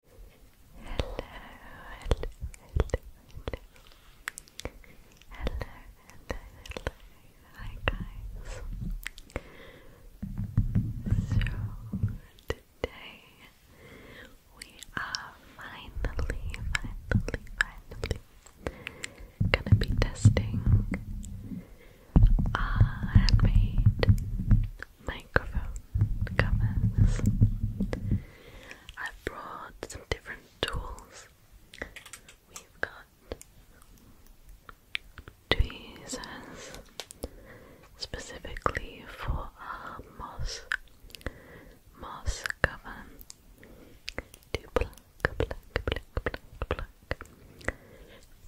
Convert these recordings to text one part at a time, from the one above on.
hello, hello, hello. Hello, hello, hello. Hi guys. So today we are finally, finally, finally gonna be testing our handmade microphone covers. I brought some different tools. We've got tweezers specifically for our moss moss cover to pluck, pluck, pluck, pluck, pluck.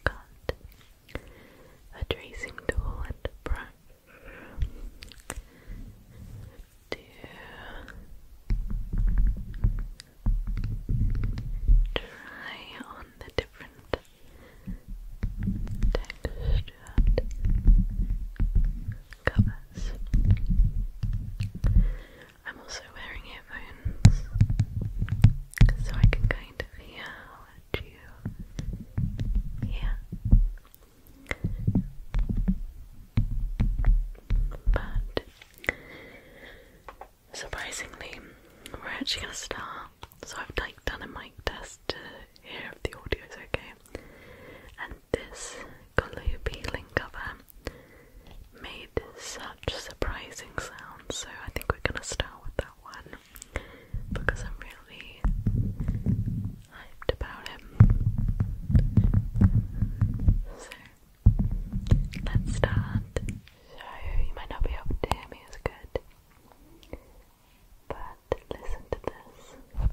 Got a tracing tool and a brush two, try on the different textured covers. I'm also wearing earphones so I can kind of hear you hear. But surprisingly, we're actually gonna start. So I've like done a mic test to hear if the audio is okay. And this Galoopy link cover made such surprising sounds, so I think we're gonna start with that one because I'm really hyped about him. So let's start. So you might not be able to hear me as good, but listen to this.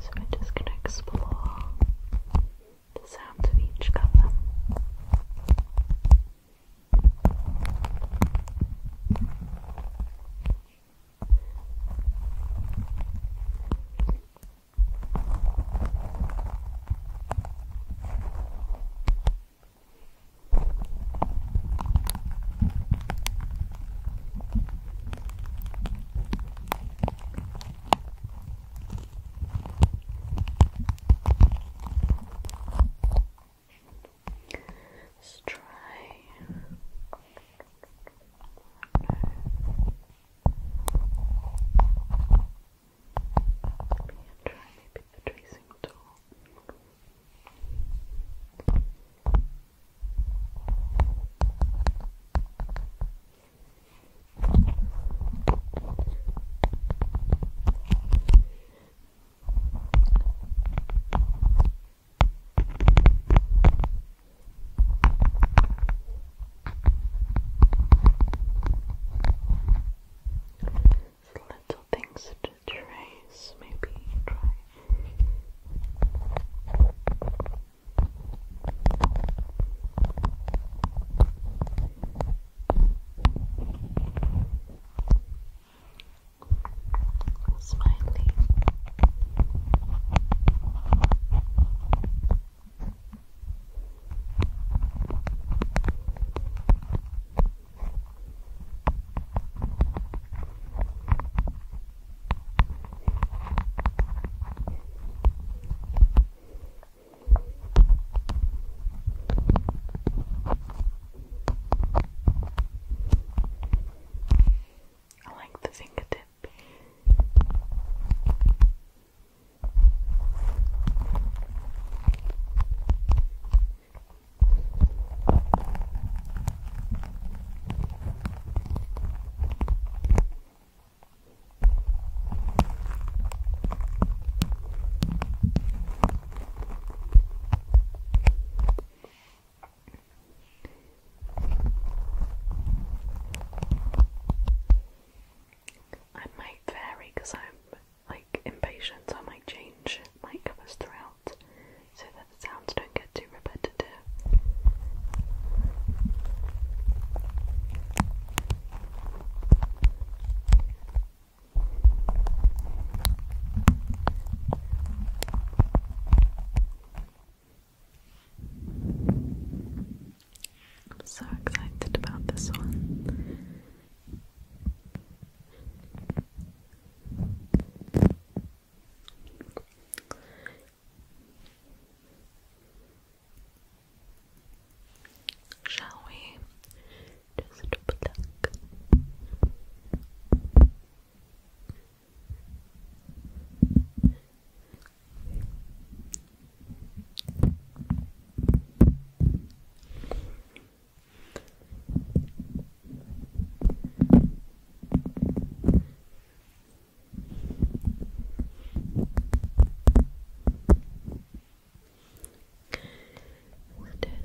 So we're just going to explore the sounds of each colour. Let's try. Maybe try maybe the tracing tool. So little things to trace, maybe try. Smiley. Good. I like the fingertip. I might vary because I'm like impatient, I might change my covers throughout so that the sounds don't too repetitive. I'm so excited about this one. Shall we just pluck?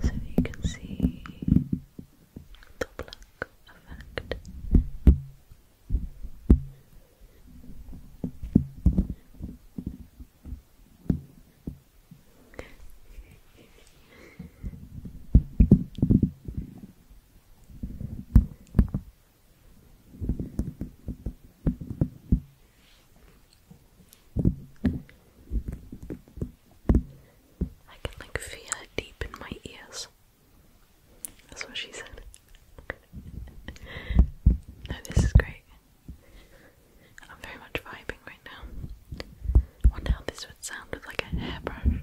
So you can see the black effect. I can like feel it deep in my ears. That's what she said. no, this is great. I'm very much vibing right now. wonder how this would sound with like a hairbrush.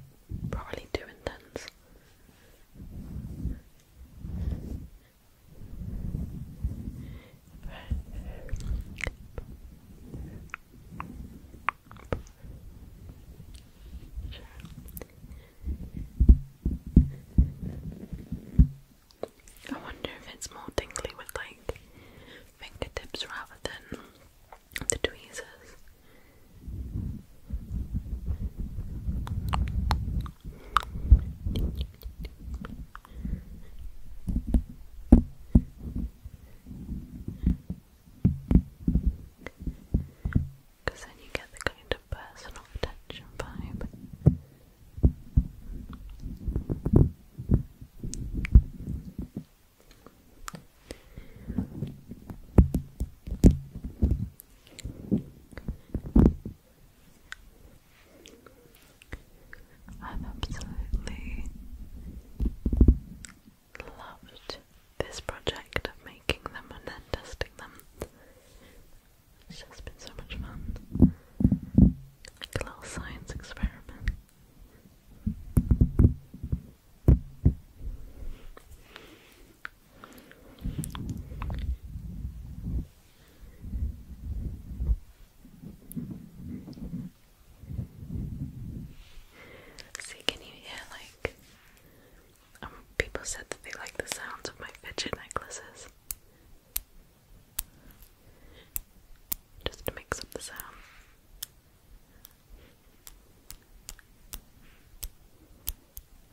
Probably too intense. I wonder if it's more tingly with like fingertips rather than the tweezers. Because then you get the kind of personal attention vibe. I've absolutely loved this project of making them and then testing them. It's just been so much fun. Like a little science experiment. See, can you hear like um, people said that they like the sounds of my fidget necklaces? Just mix up the sound.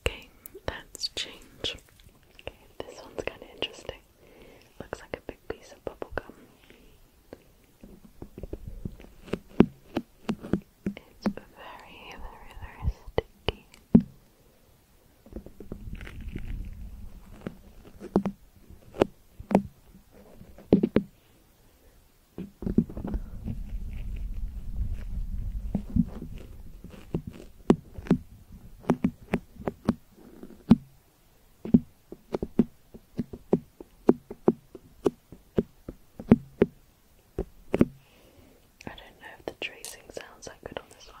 Okay, that's change. Okay, this one's kind of interesting. Looks like a big piece of bubble gum. It's very, very, very sticky. I don't know if the tracing sounds that good on this one.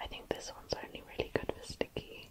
I think this one's only really good for sticky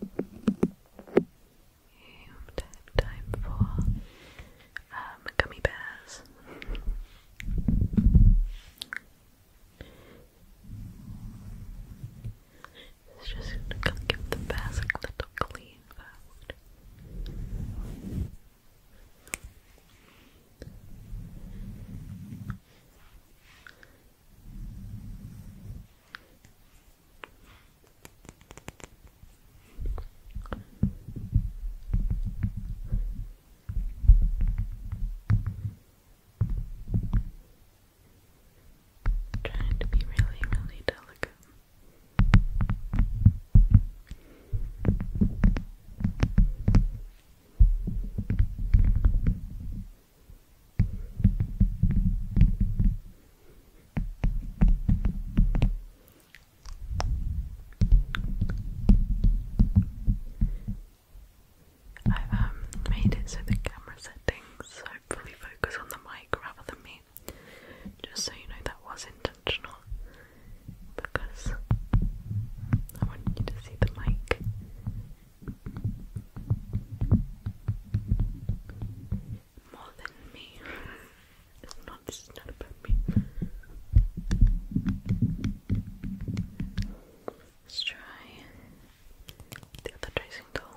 you time for um, gummy bears. just gonna give the bears a little clean I'm trying to be really, really delicate. I've um, made it so the camera settings hopefully focus on the mic rather than me. Just so you know, that was intentional because I want you to see the mic more than me. it's not this is not about me. Let's try the other tracing tool.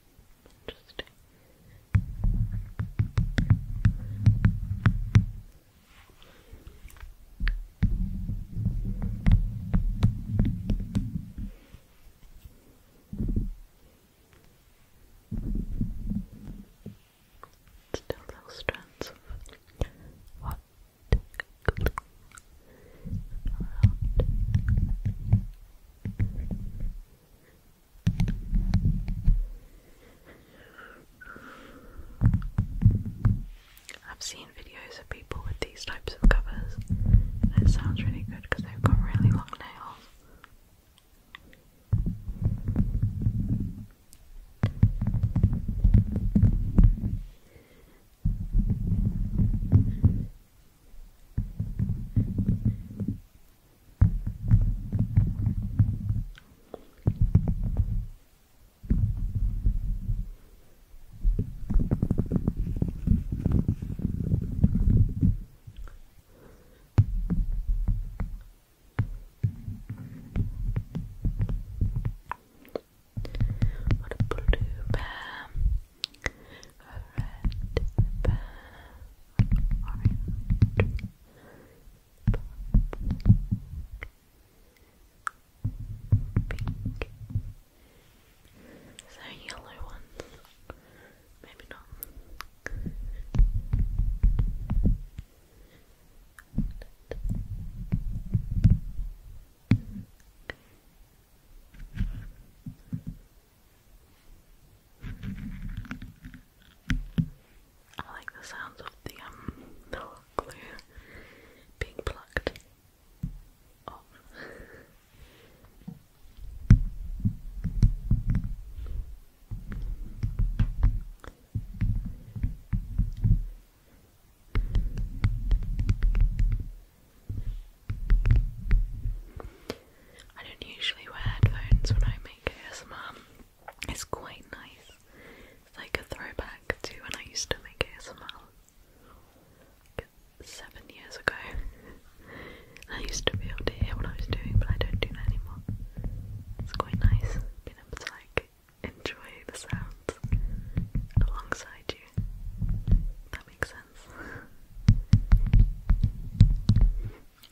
Just little strands of what I've seen videos of people with these types of covers, and it sounds really good because they've got really long nails. What a blue bear, a red bear orange, pink. Is there a yellow one? Maybe not. Okay. I like the sounds of the um, glue being plucked I don't usually wear headphones when I make ASMR. It's quite nice. It's like a throwback to when I used to make ASMR like seven years ago. I used to be able to hear what I was doing, but I don't do that anymore. It's quite nice being able to like enjoy the sounds alongside you. That makes sense.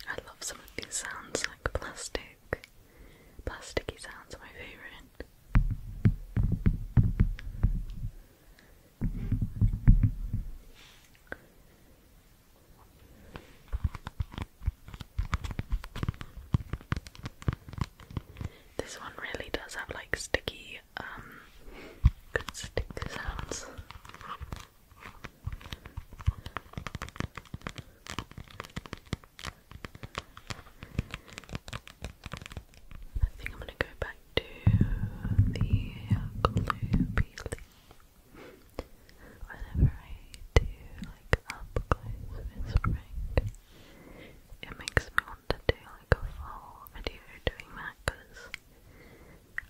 I love some of these sounds like plastic. Plasticky sounds are my favourite. This one really does have like sticky, um, good stick sounds. I think I'm going to go back to the glue peeling. Whenever I do like up close it makes me want to do like a full video doing that because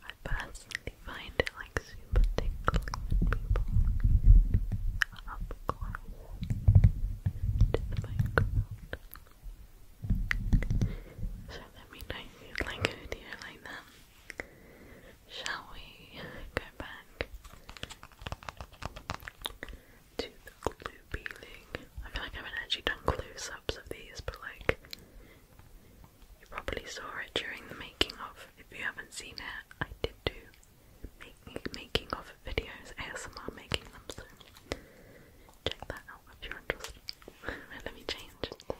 I personally they find it like super tickling people up close to the microphone. So let me know if you like a video like that. Shall we go back to the glue peeling? I feel like I haven't actually done close ups of these, but like you probably saw it during the making of if you haven't seen it, I did do making making of videos, ASMR making them, so check that out if you're interested. Let me change this.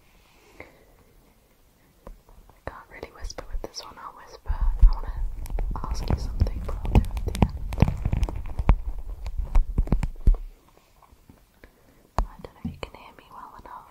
I can't really whisper with this one, I'll whisper. I want to ask you something, but I'll do it at the end. I don't know if you can hear me well enough.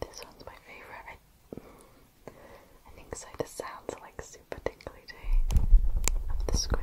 This one's my favourite. I, think so. The sounds are like super tingly the squish.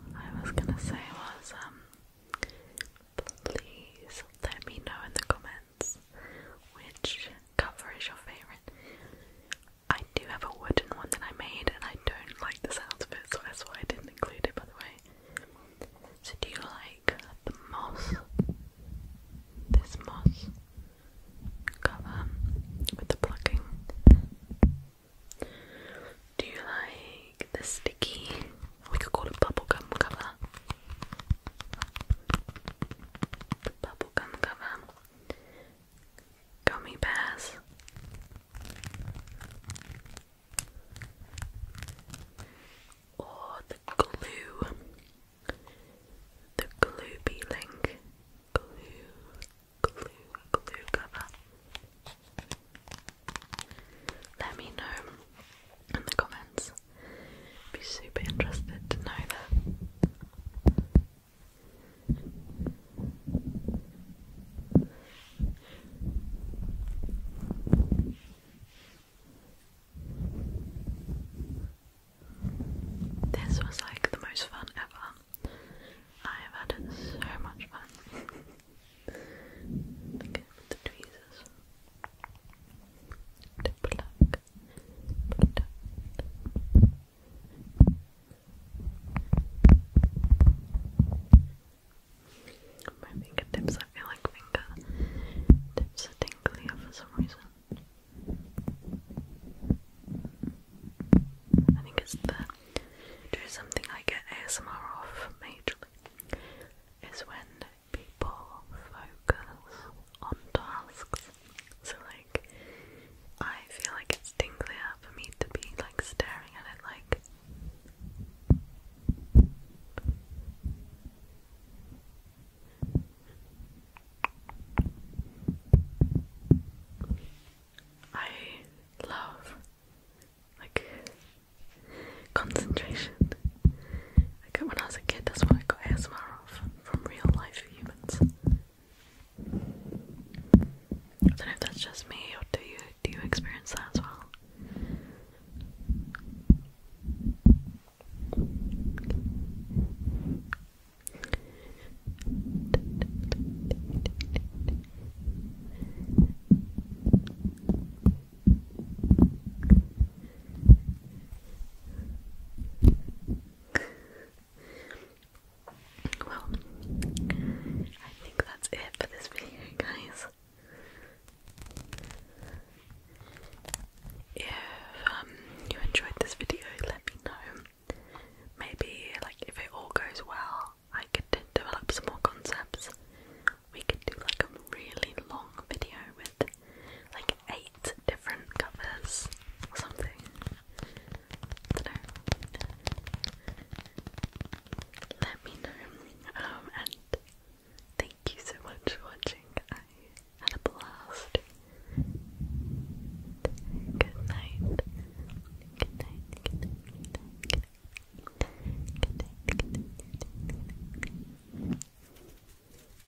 I was gonna say was um please let me know in the comments which cover is your favourite? I do have a wooden one that I made, and I don't like the sound of it, so that's why I didn't include it, by the way. So, do you like the moss? This moss cover with the plucking. Do you like the sticky? We could call it bubble gum cover the bubblegum cover, gummy bears, or the glue, the glue link, glue, glue, glue cover. Let me know in the comments. I'd be super interested to know that. This was like the most fun ever. I have had so much fun. Look the tweezers. To pluck. But, my fingertips, I feel like fingertips are tingly for some reason. I think it's the do something I get ASMR off majorly is when people focus on tasks. So like I feel like it's tinglier for me to be like staring at it like I love like concentration like when I was a kid, that's why I got asthma off from real life humans. I don't know if that's just me, do you do you experience that as well? Well, I think that's it for this video, guys. If um, you enjoyed this video, let me know. Maybe, like, if it all goes well, I could develop some more concepts. We could do like a really long video with like eight different covers or something. Let me know. Um, and thank you so much for watching. I had a blast. Good night. Good night. Good night. Good night. Good night. Good night. Good night.